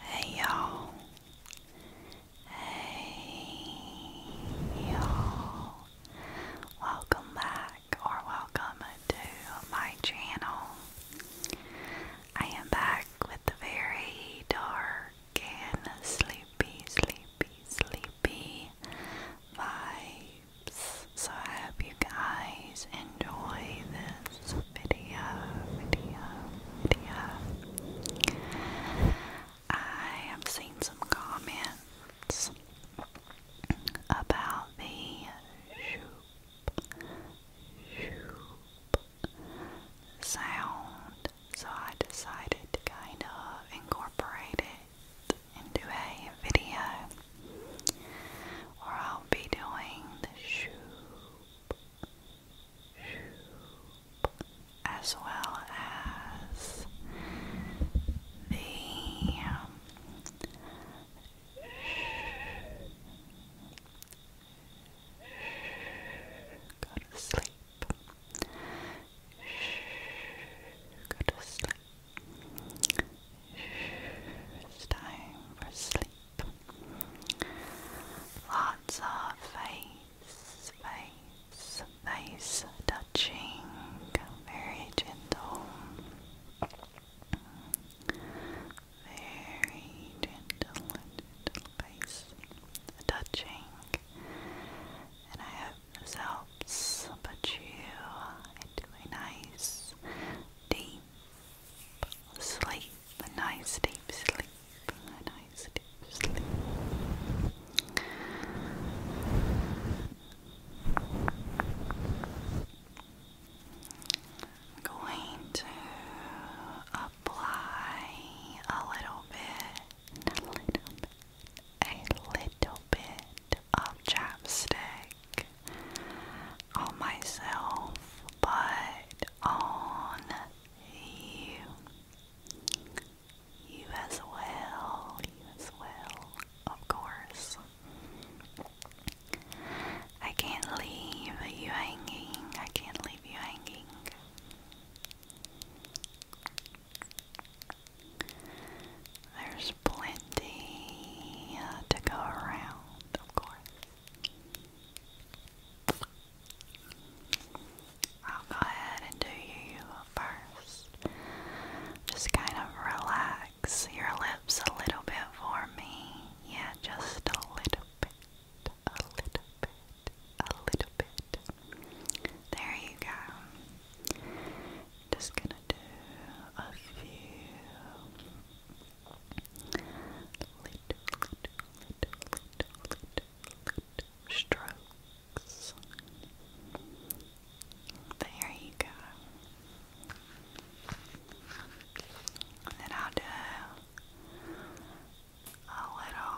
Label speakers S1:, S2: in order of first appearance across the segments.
S1: Hey y'all. Hey y'all. Welcome back or welcome to my channel. I am back with very dark and sleepy, sleepy, sleepy vibes. So I hope you guys enjoy this video, video, video. I have seen some comments about the shoop, shoop sound, so I decided to kind of incorporate it into a video or I'll be doing the shoop, shoop as well as the um, Go to sleep. Go to sleep. It's time for sleep. Lots of face, face, face touching, very gentle. Very gentle, face touching. And I hope this helps put you into a nice, deep, sleep, a nice deep sleep, a nice deep sleep. going to apply a little bit, a little bit, a little bit of chapstick on myself, but on you. You as well, you as well, of course. I can't leave you hanging, I can't leave you hanging. There's plenty uh, to go around, of course. I'll go ahead and do you first. Just kind of relax your lips a little bit for me. Yeah, just a little bit. A little bit. A little bit. There you go. Just gonna do a few little, little, little, little, little strokes. There you go. then I'll do a little.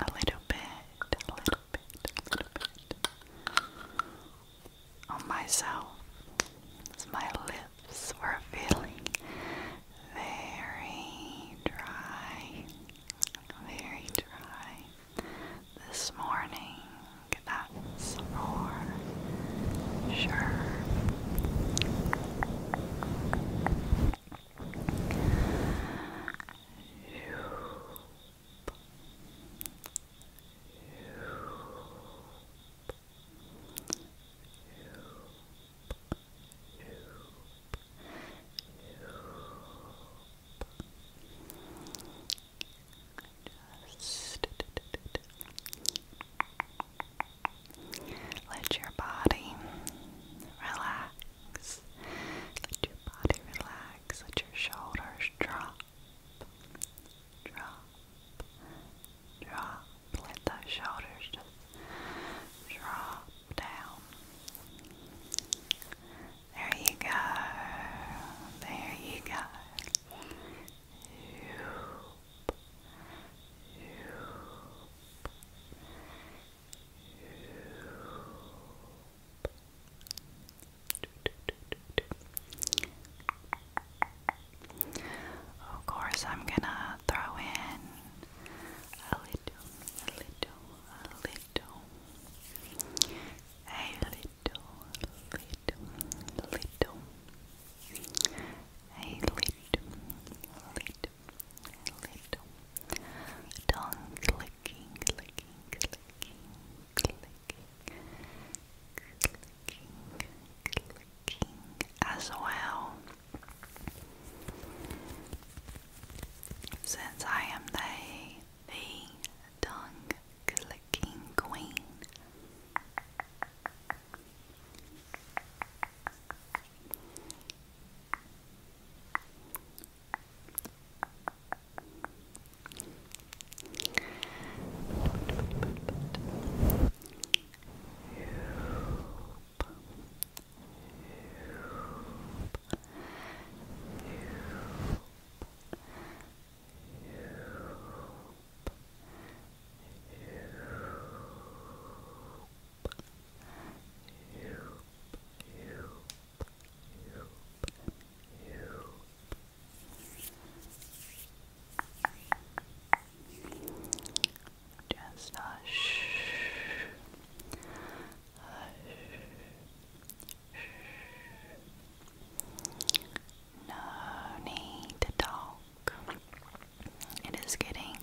S1: A little bit, a little bit, a little bit on myself. my lips were feeling very dry, very dry this morning that's for sure. Shoop let your body relax. Let your body relax. Let your shoulders drop. Drop. Drop. Let those shoulders just drop down. There you go. There you go. Of course, I'm gonna throw in a little, a little, a little, a little, little, little, a little, little, little tongue clicking, clicking, clicking, clicking, clicking, clicking as well. Since I am they, the tongue clicking queen. Hoop, hoop, hoop, just hush. Hush. Hush. No need to talk. It is getting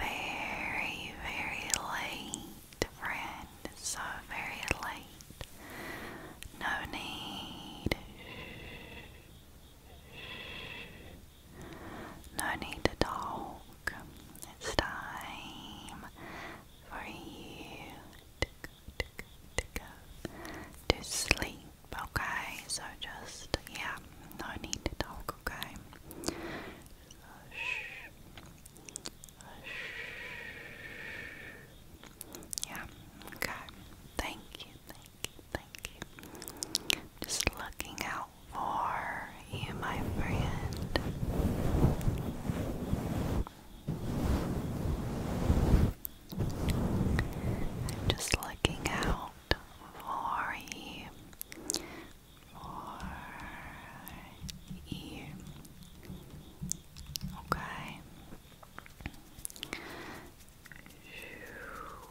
S1: very, very late, friend. so very late. No need. No need to talk. It's time for you to sleep, okay? So just, yeah, no need to talk, Yeah, okay. Thank you, thank you, thank you. Just looking out for you, my friend. I'm just looking out for you, for you. Okay. Shoop. Shoop. Shoop.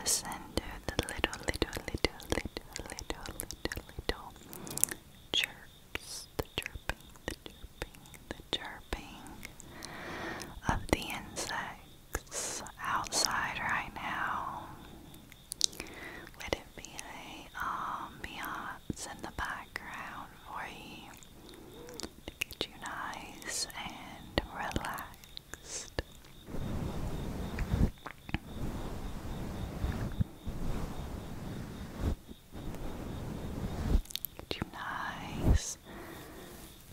S1: Listen to the little, little, little, little, little, little, little chirps, the chirping, the chirping, the chirping of the insects outside right now. Would it be a ambiance in the background for you? get you nice and relaxed. Get you nice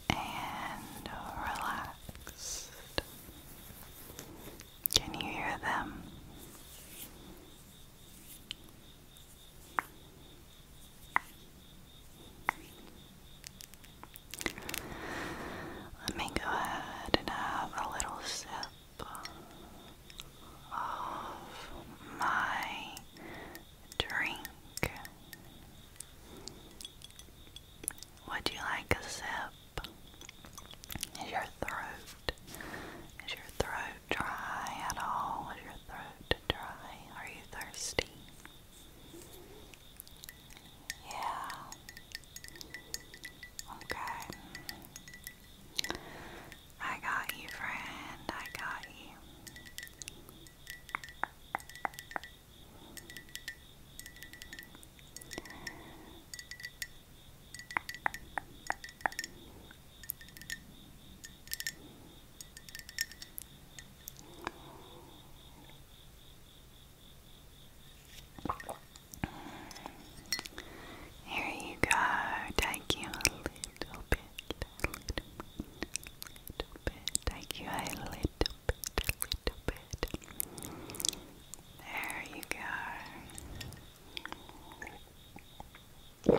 S1: and relaxed. Can you hear them? Let me go ahead and have a little sip of my drink. Would you like a sip? Is your throat is your throat dry at all? Is your throat dry? Are you thirsty? Yeah. Okay. I got you, friend. I got you. Here you go, take you a little bit, little bit, take you a little bit, little bit. There you go. That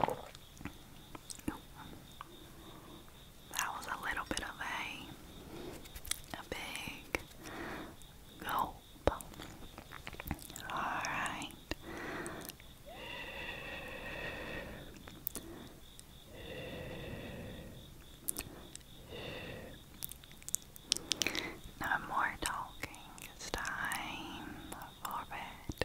S1: was a little bit of a a big gulp. Alright. No more talking. time for bed.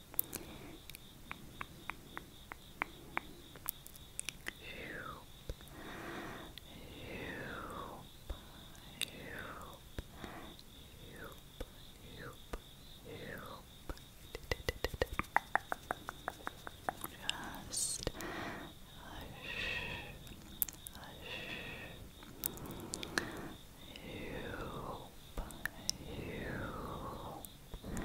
S1: Just hup, hup, just kind of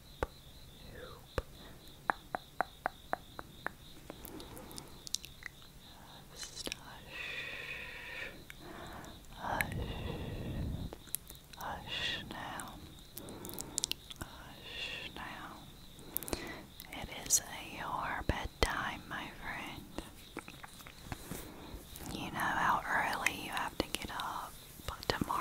S1: hush, hush now, hush now. It is your bedtime, my friend. You know how early you have to get up tomorrow.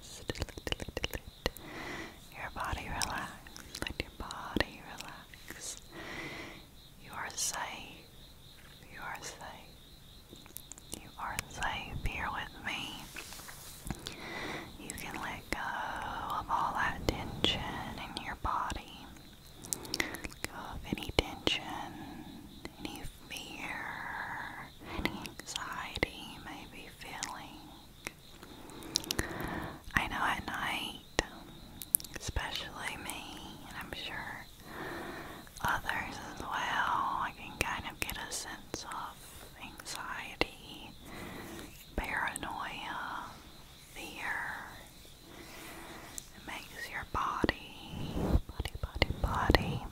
S1: Just your body relax. Let your body relax. You are safe. You are safe. You are safe here with me. You can let go of all that tension in your body. Let go of any tension, any fear, any anxiety you may be feeling. I know at night, especially me, and I'm sure others as well, I can kind of get a sense of anxiety, paranoia, fear. It makes your body, body, body, body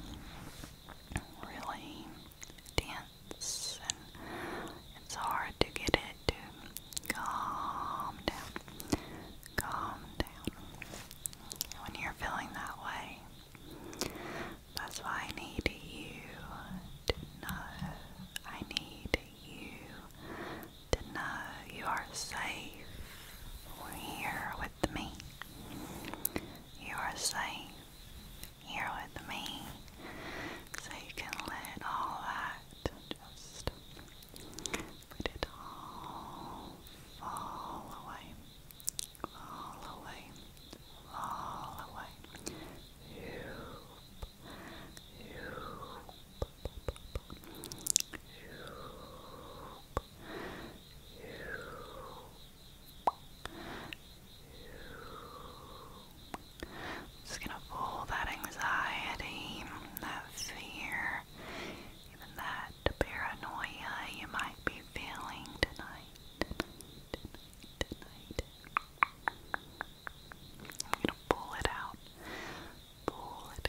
S1: really dense and it's hard to get it to calm down. Calm down. When you're feeling that way. That's why I need you to know. I need you to know you are safe here with me. You are safe here with me. So you can let all that just let it all fall away. Fall away. Fall away. Hoop. Hoop. Just gonna pull that anxiety, that fear, even that paranoia you might be feeling tonight. I'm gonna pull it out. Pull it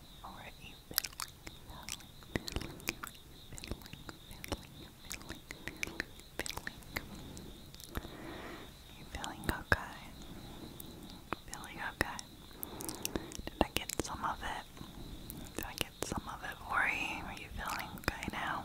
S1: or Are you feeling okay? Feeling okay? Did I get some of it? Did I get some of it for Are you feeling okay now?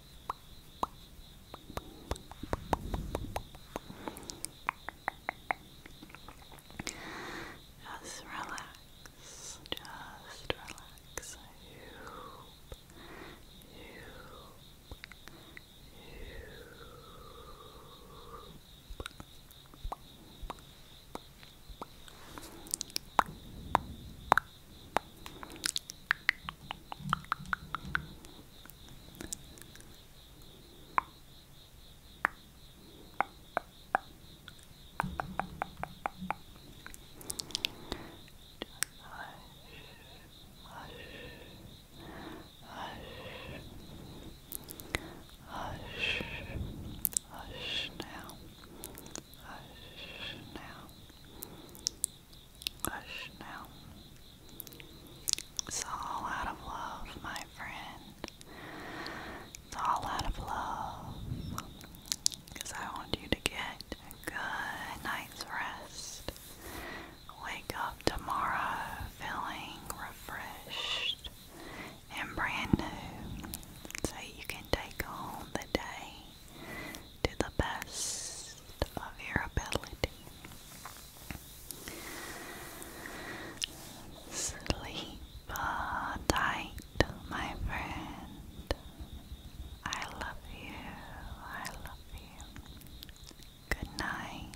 S1: Just relax, just relax. I you, you. Hush, hush now, hush now, Hush now. It's all out of love, my friend. It's all out of love. Because I want you to get a good night's rest. Wake up tomorrow feeling refreshed and brand new so you can take on the day to the best of your ability. Sleep tight, my friend. I love you. I love you. Good night.